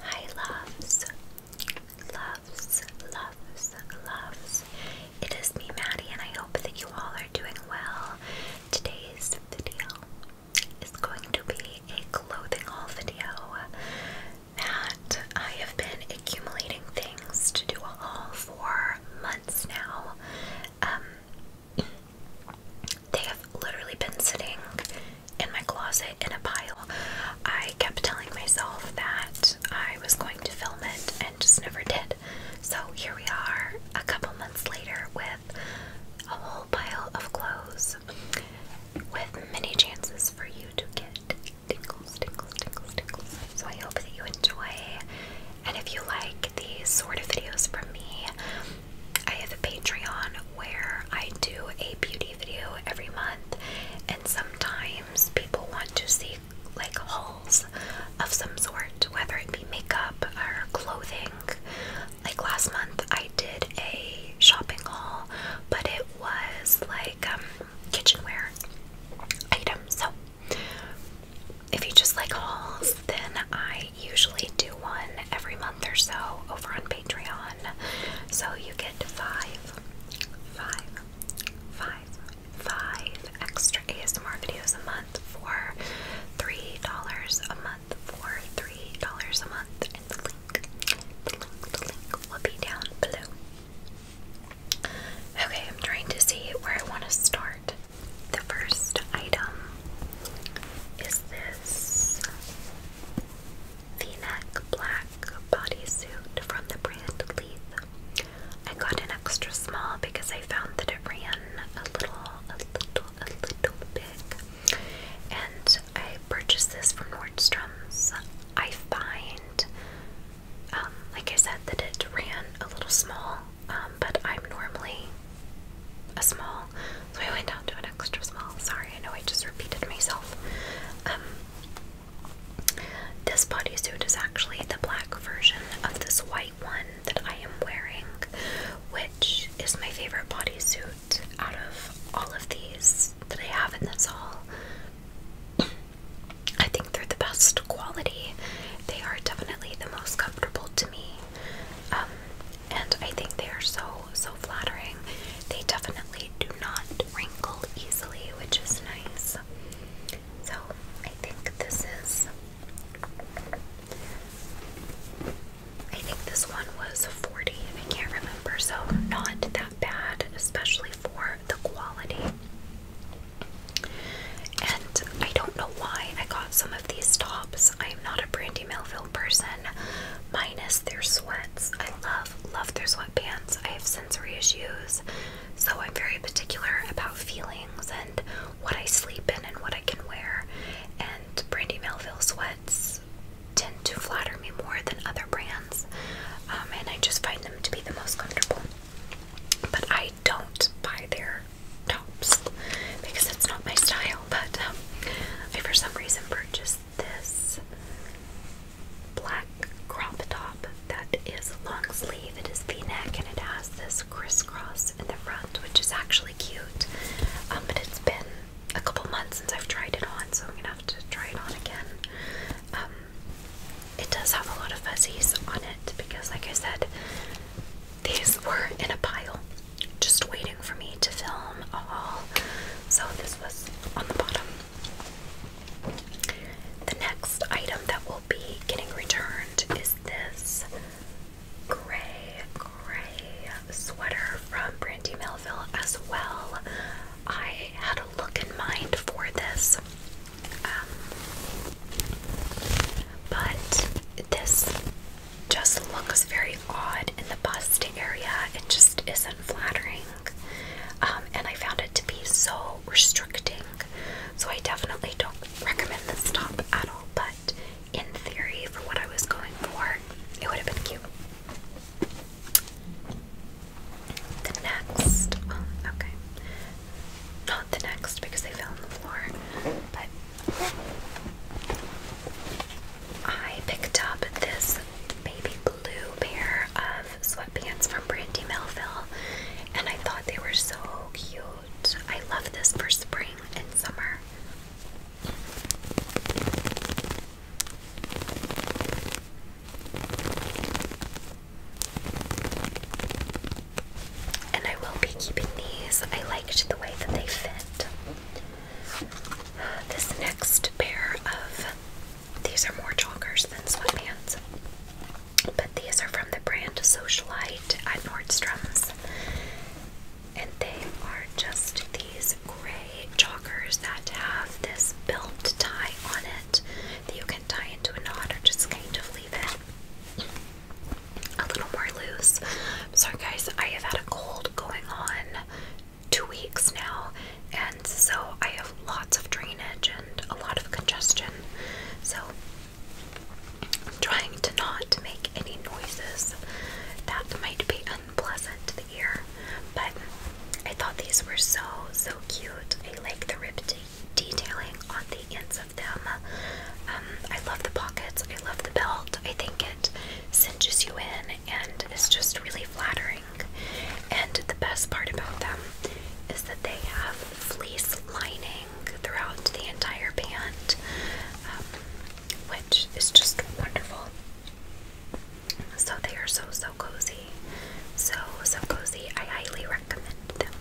Hi loves, loves, loves, loves. It is me Maddie and I hope that you all are doing well. Today's video is going to be a clothing haul video that I have been accumulating things to do a haul for months now. Um, they have literally been sitting in my closet in a pile. I kept telling myself that I was going to film it and just never did. So here we are a couple months later with a whole pile of clothes with many chances for you to get tingles, tingles, tingles, tingles. So I hope that you enjoy. And if you like these sort of videos from me, I have a Patreon where I do a beauty video every month, and sometimes people want to see like hauls of some sort, whether it be makeup or clothing. Like last month, I did a shopping haul, but it was like um, kitchenware items. So if you just like hauls, then I usually do one every month or so over on Patreon. So you get five, five, five, five extra ASMR videos a month for three dollars a month for three dollars a month. And the link will be down below. Okay, I'm trying to see where I want to start. The first item is this v-neck black bodysuit from the brand Leith. I got an extra small because I found that it ran a little, a little, a little big. And I purchased this from Nordstrom's. I find, um, like I said, that it ran a little small, um, but I'm normally a small, so I went down to an extra small. Sorry, I know I just repeated myself. Um, this bodysuit is actually the black version of this white one that I am wearing, which is my favorite bodysuit out of all of these that I have in this haul. I think they're the best quality. They are definitely the most comfortable to me. Um, and I think they are so so flattering. They definitely do not wrinkle easily, which is nice. So I think this is. I think this one was 40, I can't remember, so not that bad, especially for the quality. And I don't know why I got some of these tops. I am not a Brandy Melville person, minus their sweats. I love, love their sweatpants. I have sensory issues, so I'm very particular about feelings and what I sleep in and what I can wear. And Brandy Melville sweats tend to flatter me more than other brands, um, and I just find them to be the most comfortable. But I don't buy their tops because it's not my style. But um, I, for some reason, purchased this black crop top that is long sleeve. It is v-neck and it has this crisscross in the front, which is actually cute. Um, but it's been a couple months since I've tried it on, so I'm gonna have to try it on again. Um, it does have a lot of fuzzies on it because, like I said, these were in a pile just waiting for me to film a So this was on the bottom. The next item that will be getting returned is this gray, gray sweater from Brandy Melville as well. I had a look in mind for this. Um, but this just looks very odd in the bust area. It just isn't flattering. Um, and I found it to be so restricting. So I definitely don't recommend this top at all. But in theory, for what I was going for, it would have been cute. The next, okay, not the next because they fell on the floor, but I picked up this baby blue pair of sweatpants from Brandy Melville, and I thought they were so cute. I love this for spring and summer. And I will be keeping these. I liked the way that they fit. This next pair of these are more joggers than sweatpants, but these are from the brand Socialite at Nordstrom's, and they are just these gray joggers that have this belt tie on it that you can tie into a knot or just kind of leave it a little more loose. sorry, guys, I have had a cold going on two weeks now, and so I have lots of drainage and a lot of congestion. So I'm trying to not make any noises that might be unpleasant to the ear, but I thought these were so so cute. I like the rib detailing on the ends of them. Um, I love the pockets. I love the belt. I think it cinches you in and it's just really flattering. And the best part about them is that they have fleece lining throughout the entire band, um, which is just wonderful. So they are so, so cozy. So, so cozy. I highly recommend them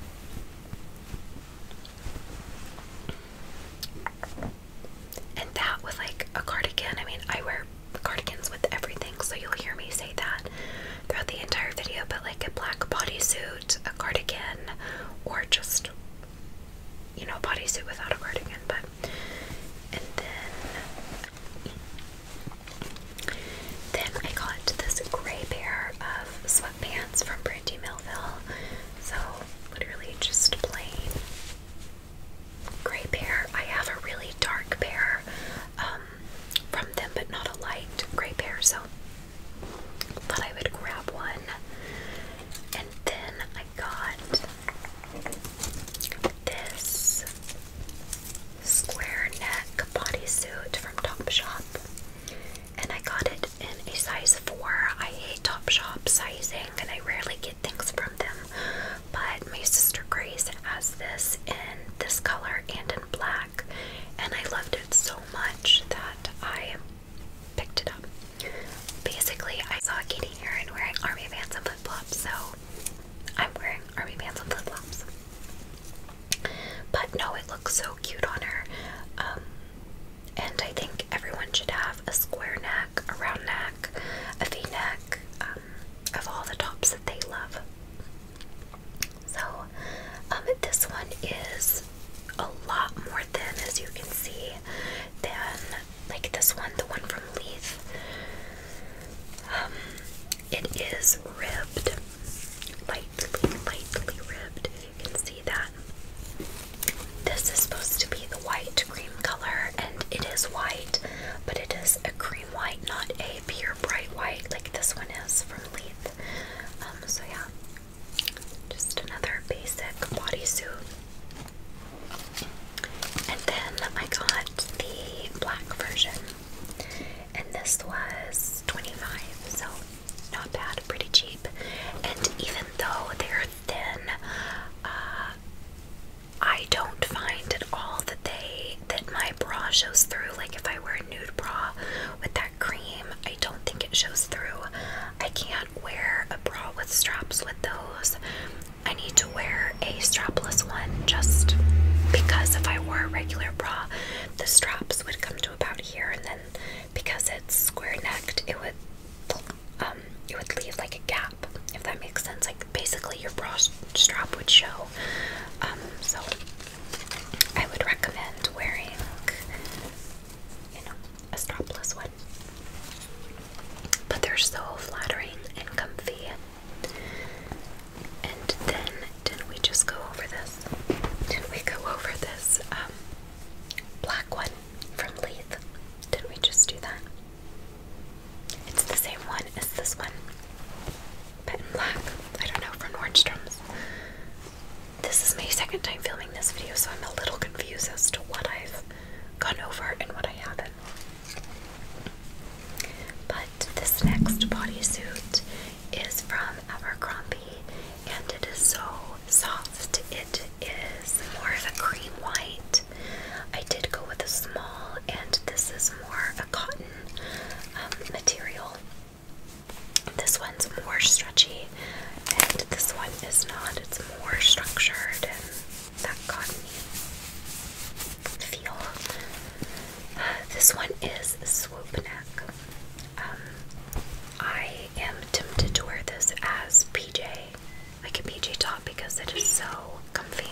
and that was like a cardigan. I mean, I wear cardigans with everything, so you'll hear me say that throughout the entire video. But like a black bodysuit, a cardigan, or just you know, bodysuit without a cardigan. But and then then I got this gray pair of sweatpants from Brandy Melville. So literally just plain gray pair. I have a really dark pair um, from them, but not a light gray pair, so thought I would grab one. And then I got this square neck bodysuit from Topshop. And I got it in a size 4. I hate Topshop sizing and I rarely get things from them. But my sister Grace has this in this color and in black, and I loved it so much that I picked it up. Basically, I saw Katie Heron wearing army pants and flip flops, so I'm wearing army pants and flip flops. But no, it looks so cute on her. Um, and I think everyone should have a square neck, a round neck, a v neck, um, of all the tops that they love. So, um, this one is a lot more thin, as you can see, than like this one, the one from Leith. Um, it is ribbed, lightly, lightly ribbed, if you can see that. This is supposed to be the white cream color, and it is white, but it is a cream white, not a pure bright white like this one is from Leith. Um, so yeah, just another basic bodysuit. And then I got the black version, and this was 25 so not bad, pretty cheap. And even though they're then uh, I don't find at all that they that my bra shows through. Like if I wear a nude bra with that cream, I don't think it shows through. I can't wear a bra with straps with those. I need to wear a strapless one just because if I wore a regular bra, the straps would come to about here, and then because it's square necked, it would um, it would leave like a gap, if that makes sense. Like basically your bra strap would show. Um, so I would recommend wearing, you know, a strapless one. But they're so flattering and comfy. And then didn't we just go over this? did we go over this um, black one? from Leith. Didn't we just do that? It's the same one as this one. But in black. I don't know, from Nordstrom's. This is my second time filming this video, so I'm a little confused as to what I've gone over and what I haven't. But this next bodysuit is from Abercrombie and it is so soft. It is more of a cream white. I did go with a small, and this is more a cotton um, material. This one's more stretchy, and this one is not. It's more structured and that cotton feel. this one is swoop neck. Um, I am tempted to wear this as PJ like a PJ top because it is so comfy.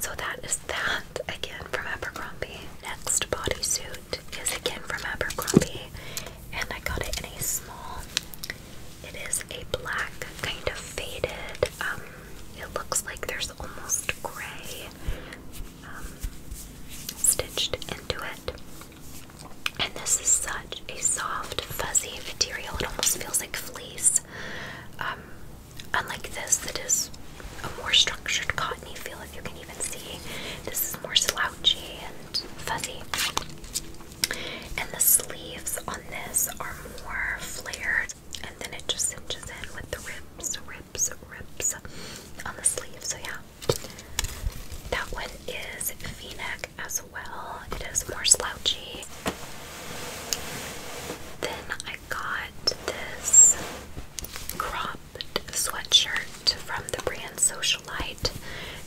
So that is that again from Abercrombie. Next bodysuit is again from Abercrombie and I got it in a small. It is a black kind of faded. Um, it looks like there's almost gray um, stitched into it. And this is such a soft, fuzzy material. It almost feels like fleece. Um, unlike this, that is a more structured cottony feel, if you can even see. This is more slouchy and fuzzy. And the sleeves on this are more flared. And then it just cinches in with the rips, ribs, ribs on the sleeve. So, yeah. That one is v as well. It is more slouchy. Then I got this cropped sweatshirt from the brand Socialite.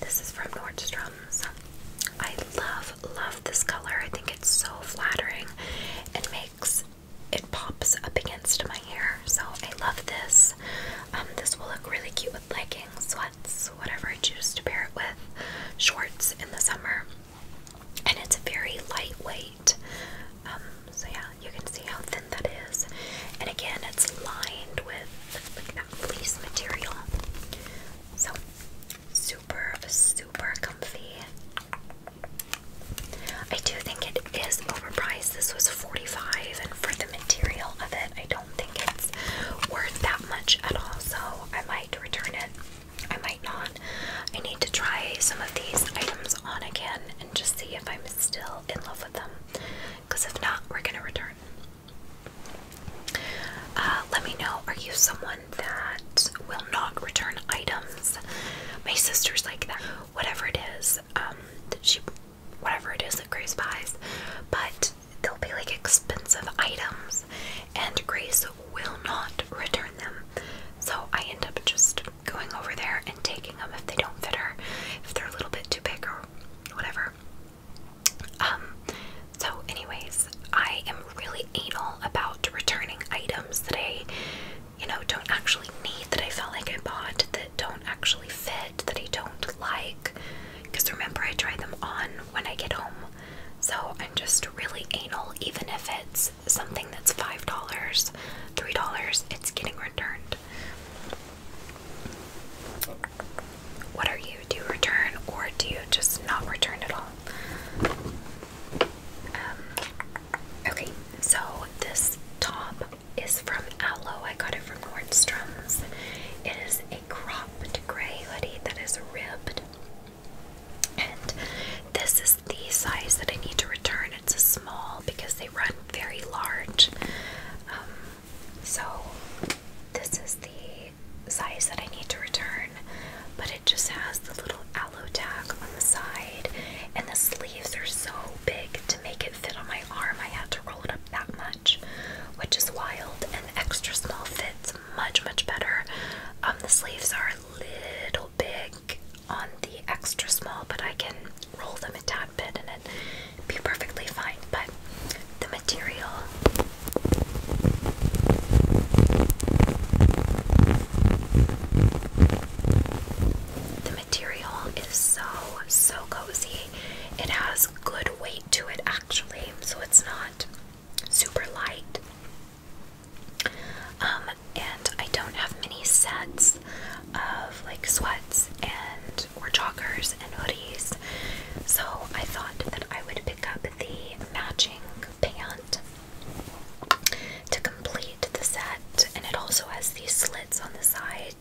This is from Nordstrom's. I love, love this color. I think it's so flattering and makes it pops up against my hair. So I love this. Um, this will look really cute with leggings, culottes, whatever I choose to pair it with, shorts in the summer. And it's very lightweight. Um, so yeah, you can see how thin that is. And again, it's lined with like that fleece material. So super, super comfy. I do think it is overpriced. This was 45 and for the material of it, I don't think it's worth that much at all, so I might return it. I might not. I need to try some of these items on again and just see if I'm still in love with them. Because if not, we're going to return. Uh, let me know, are you someone that will not return items? My sister's like that. Whatever it is, um, she whatever it is that Grace buys, but they'll be like expensive items, and Grace will not return them. So I end up just going over there and taking them if they don't fit her, if they're a little bit too big or whatever. Um, so, anyways, I am really anal about returning items that I, you know, don't actually need, that I felt like I bought, that don't actually fit, that I don't like. Because remember, I try them on when I get home. So I'm just really anal, even if it's something that's $5, $3, it's getting returned. What are you? Do return or do you just not return at all? Um, okay, so this top is from Aloe. I got it from Nordstrom's. It is a cropped gray hoodie that is ribbed. And this is the size that I need to return. It's a small because they run very large. Um, so this is the size that I need to return. But it just has the little aloe tag on the side. And the sleeves are so big to make it fit on my arm. I had to roll it up that much which is wild. And extra small fits much, much better. Um, the sleeves are a little big on the extra small, but I can roll them a tad bit and it be perfectly fine. But the material. The material is so, so cozy. It has good weight to it actually, so it's not super light. Um, and I don't have many sets of like sweats and or joggers and hoodies, so I thought that I would pick up the matching pant to complete the set, and it also has these slits on the side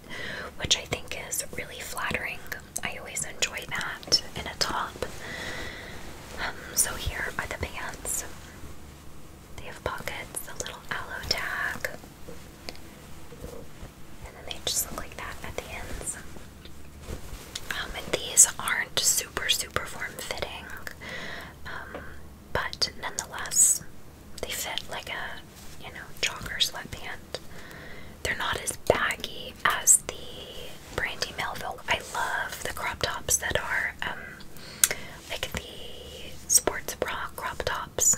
which I think is really flattering. I always enjoy that in a top. Um, so here are the pants. They have pockets, a little aloe tag, and then they just look like that at the ends. Um, these aren't super super form fitting, um, but nonetheless they fit like a, you know, jogger sweatpant. They're not as baggy as the Brandy Melville. I love the crop tops that are um, like the sports bra crop tops.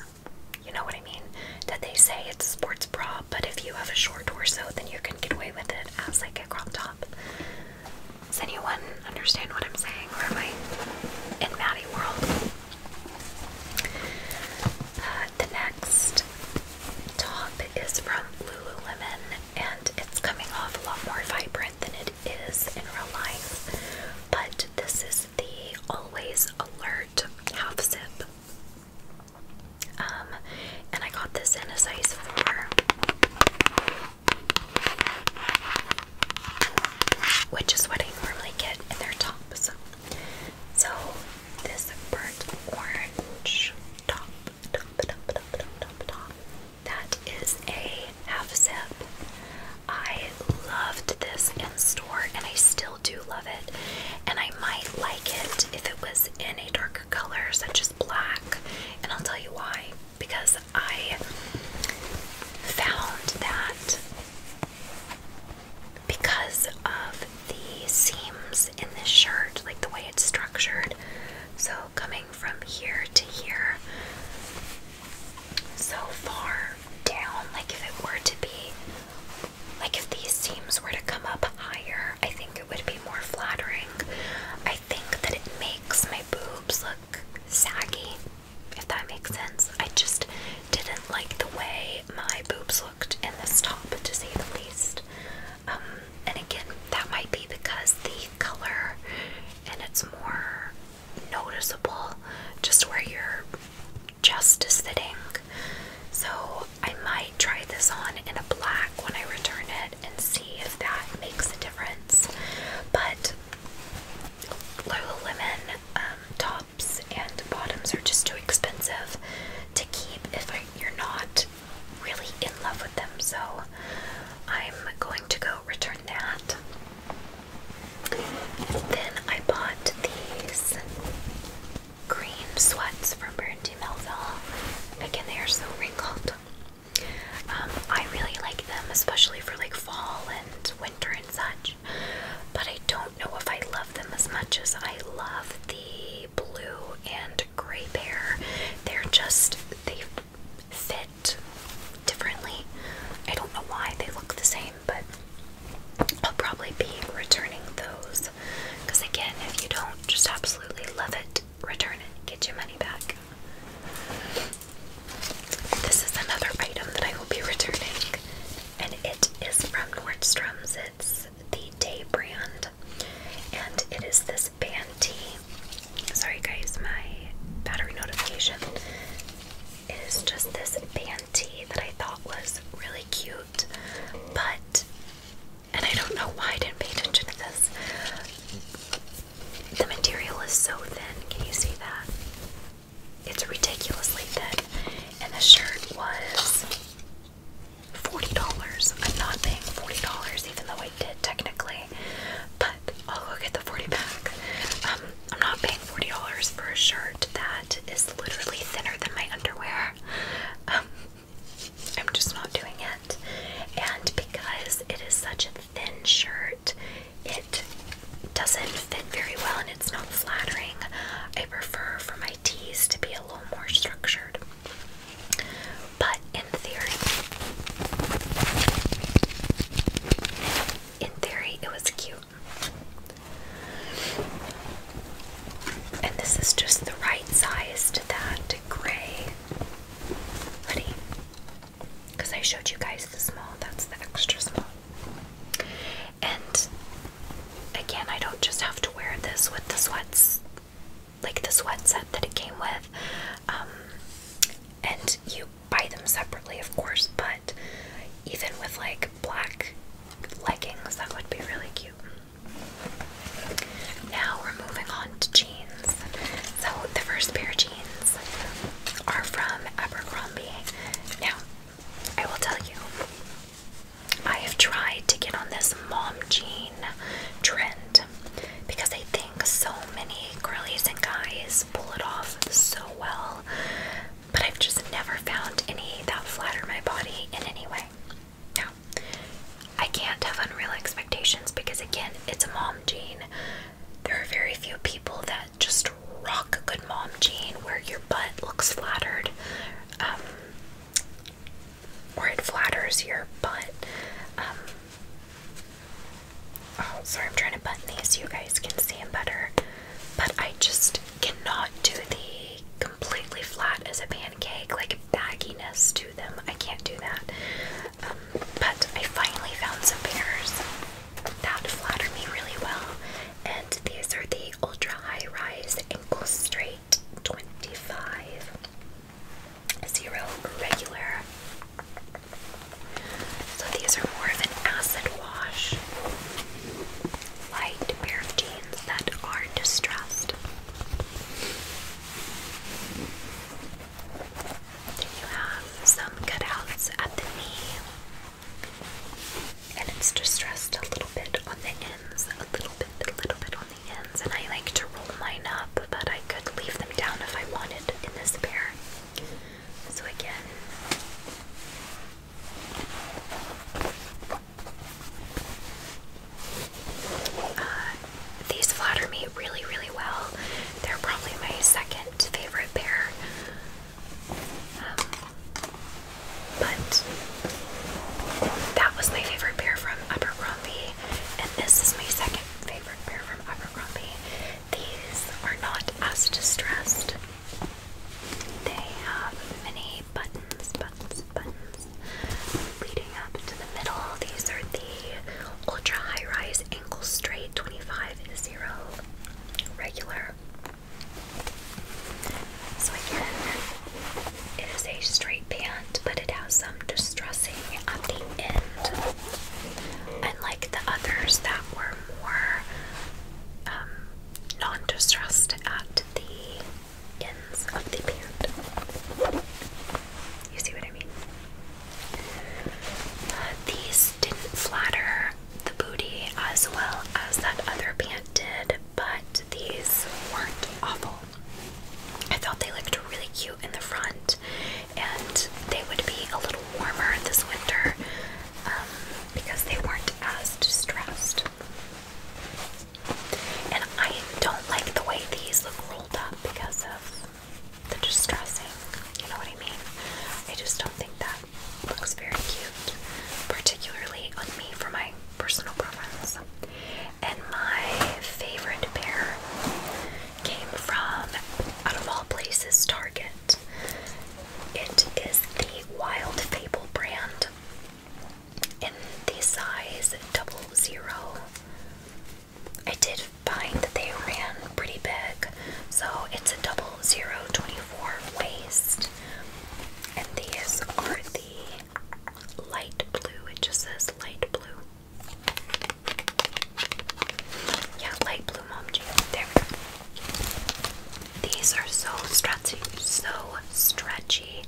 You know what I mean? That they say it's a sports bra, but if you have a short torso, then you can get away with it as like a crop top. Does anyone understand what I'm saying? Or am I in Maddie world? Uh, the next top is from Lululemon, and it's coming off a lot more vibrant than it is in real life. But this is the Always Alert Half Zip. Um, and I got this in a size 4, which is what I normally get in their tops. So this burnt orange top, top. That is a half zip. I loved this in store and I still do love it. And I might like it if it was in a darker color, such as black. And I'll tell you why. Because I found that because of the seams in this shirt, like the way it's structured. So, coming from here to here, so far down, like if it were to be, like if these seams were to come up higher, I think it would be more flattering. I think that it makes my boobs look saggy if that makes sense. I just didn't like the way my boobs looked in this top, to say the least. Um, and again, that might be because the color and it's more noticeable just where you're just sitting. So I might try this on in a black when I return it and see if that makes a difference. But Lululemon um, top and bottoms are just too expensive to keep if you're not really in love with them. So I'm going to go return that. then I bought these green sweats from Brandy Melville. Again, they are so wrinkled. Um, I really like them, especially for like fall and winter and such. But I don't don't um, know if I love them as much as I love the blue and gray pair. They're just, they fit differently. I don't know why they look the same, but I'll probably be returning those. Because again, if you don't just absolutely love it, return it, get your money back. This is another item that I will be returning and it is from Nordstrom's. It's the Day brand, and it is this Banty. Sorry, guys, my battery notification. It is just this Banty that I thought was really cute, but and I don't know why I didn't pay attention to this. The material is so thin. Can you see that? It's ridiculously thin, And the shirt was $40. I'm not paying $40 even though I did technically. But I'll go get the 40 pack. Um, I'm not paying $40 for a shirt that is literally thinner than my underwear. Um, I'm just not doing it. And because it is such a thin shirt, it doesn't fit very well and it's not flattering. I prefer for my teas to be a little more structured. But in theory, in theory, it was cute. And this is just the right size to that gray hoodie. Because I showed you guys the small, that's the extra small. And again, I don't just have to wear this with the sweats, like the sweat set that it came with. Um, and you buy them separately, of course, but even with like black leggings, that would be really cute. Now we're moving on to jeans. So the first pair of jeans are from Abercrombie. Now, I will tell you, I have tried to get on this mom jean trend because I think so many girls and guys pull it off so well, but I've just never found any that flatter my body in any way. Now, I can't have unreal expectations because, again, it's a mom jean. There are very few people that just rock a good mom jean where your butt looks flattered, um, or it flatters your butt. Um, oh, sorry, I'm trying to button these so you guys can see them better, but I just cannot do the completely flat as a pancake, like bagginess to them. I can't do that. Um, but I finally found some pairs that flatter me really well. And these are the ultra high rise ankle straight 25 zero regular. So these are more of an acid wash, light pair of jeans that are distressed. Then you have some cutouts at the knee and it's distressed a little bit on the ends, a little bit, little bit on the ends. And I like to roll mine up, but I could leave them down if I wanted in this pair. So again, uh, these flatter me really, really well. They're probably my second favorite pair but that was my favorite pair from Abercrombie, and this is my second favorite pair from Abercrombie. These are not as distressed. They have many buttons, buttons, buttons leading up to the middle. These are the ultra high rise ankle straight 25 0 regular. So again, it is a straight pant, but it has some distressing at the end. Unlike the others that were more um, non-distressed at the ends of the pant. You see what I mean? these didn't flatter the booty as well as that other pant did, but these weren't awful. I thought they looked really cute in the front, and they would be a little warmer this winter um, because they weren't as distressed. And I don't like the way these look rolled up because of the distressing. You know what I mean? I just don't think that that looks very cute, particularly on me for my personal preference. And my favorite pair came from, out of all places, Target. It is the Wild Fable brand in the size double zero. I did find that they ran pretty big. So it's a double zero 24 waist. And these are the light blue. It just says light blue. Yeah, light blue mom jeans. There we go. These are so stretchy, so stretchy,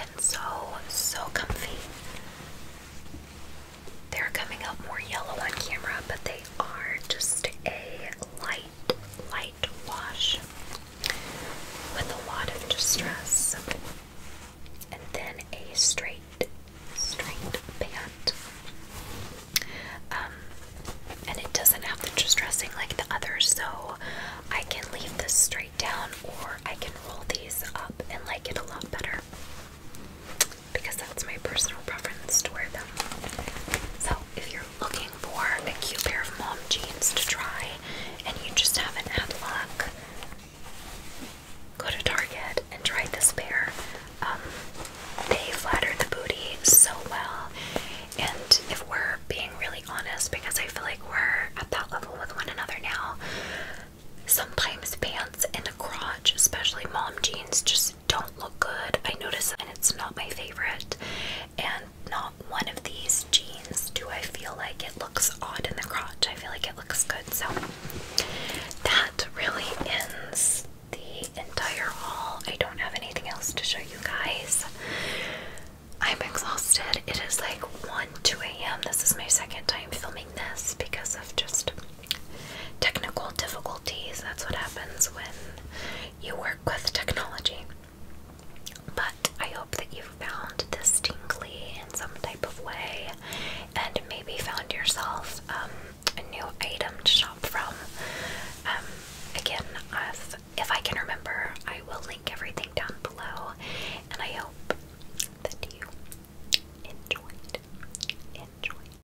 and so, so comfy. They're coming up more yellow on camera, but they are just a light, light wash with a lot of distress, and then a straight, straight band. Um, and it doesn't have the distressing like the others, so I can leave this straight down, or I can roll these up and like it a lot better because that's my personal preference to wear them. So if you're looking for a cute pair of mom jeans to try and you just haven't had luck, go to Target and try this pair. Um, they flatter the booty so well, and if we're being really honest, because I feel like we're at that level with one another now, sometimes pants in the crotch, especially mom jeans, just don't look good. I notice and it's not my favorite. And not one of these jeans do I feel like it looks odd in the crotch. I feel like it looks good. So that really ends the entire haul. I don't have anything else to show you guys. I'm exhausted. It is like 1 2 a.m. This is my second time filming this because of just Technical difficulties, that's what happens when you work with technology. But I hope that you found this tingly in some type of way and maybe found yourself um, a new item to shop from. Um, again, i if I can remember, I will link everything down below and I hope that you enjoyed. Enjoyed.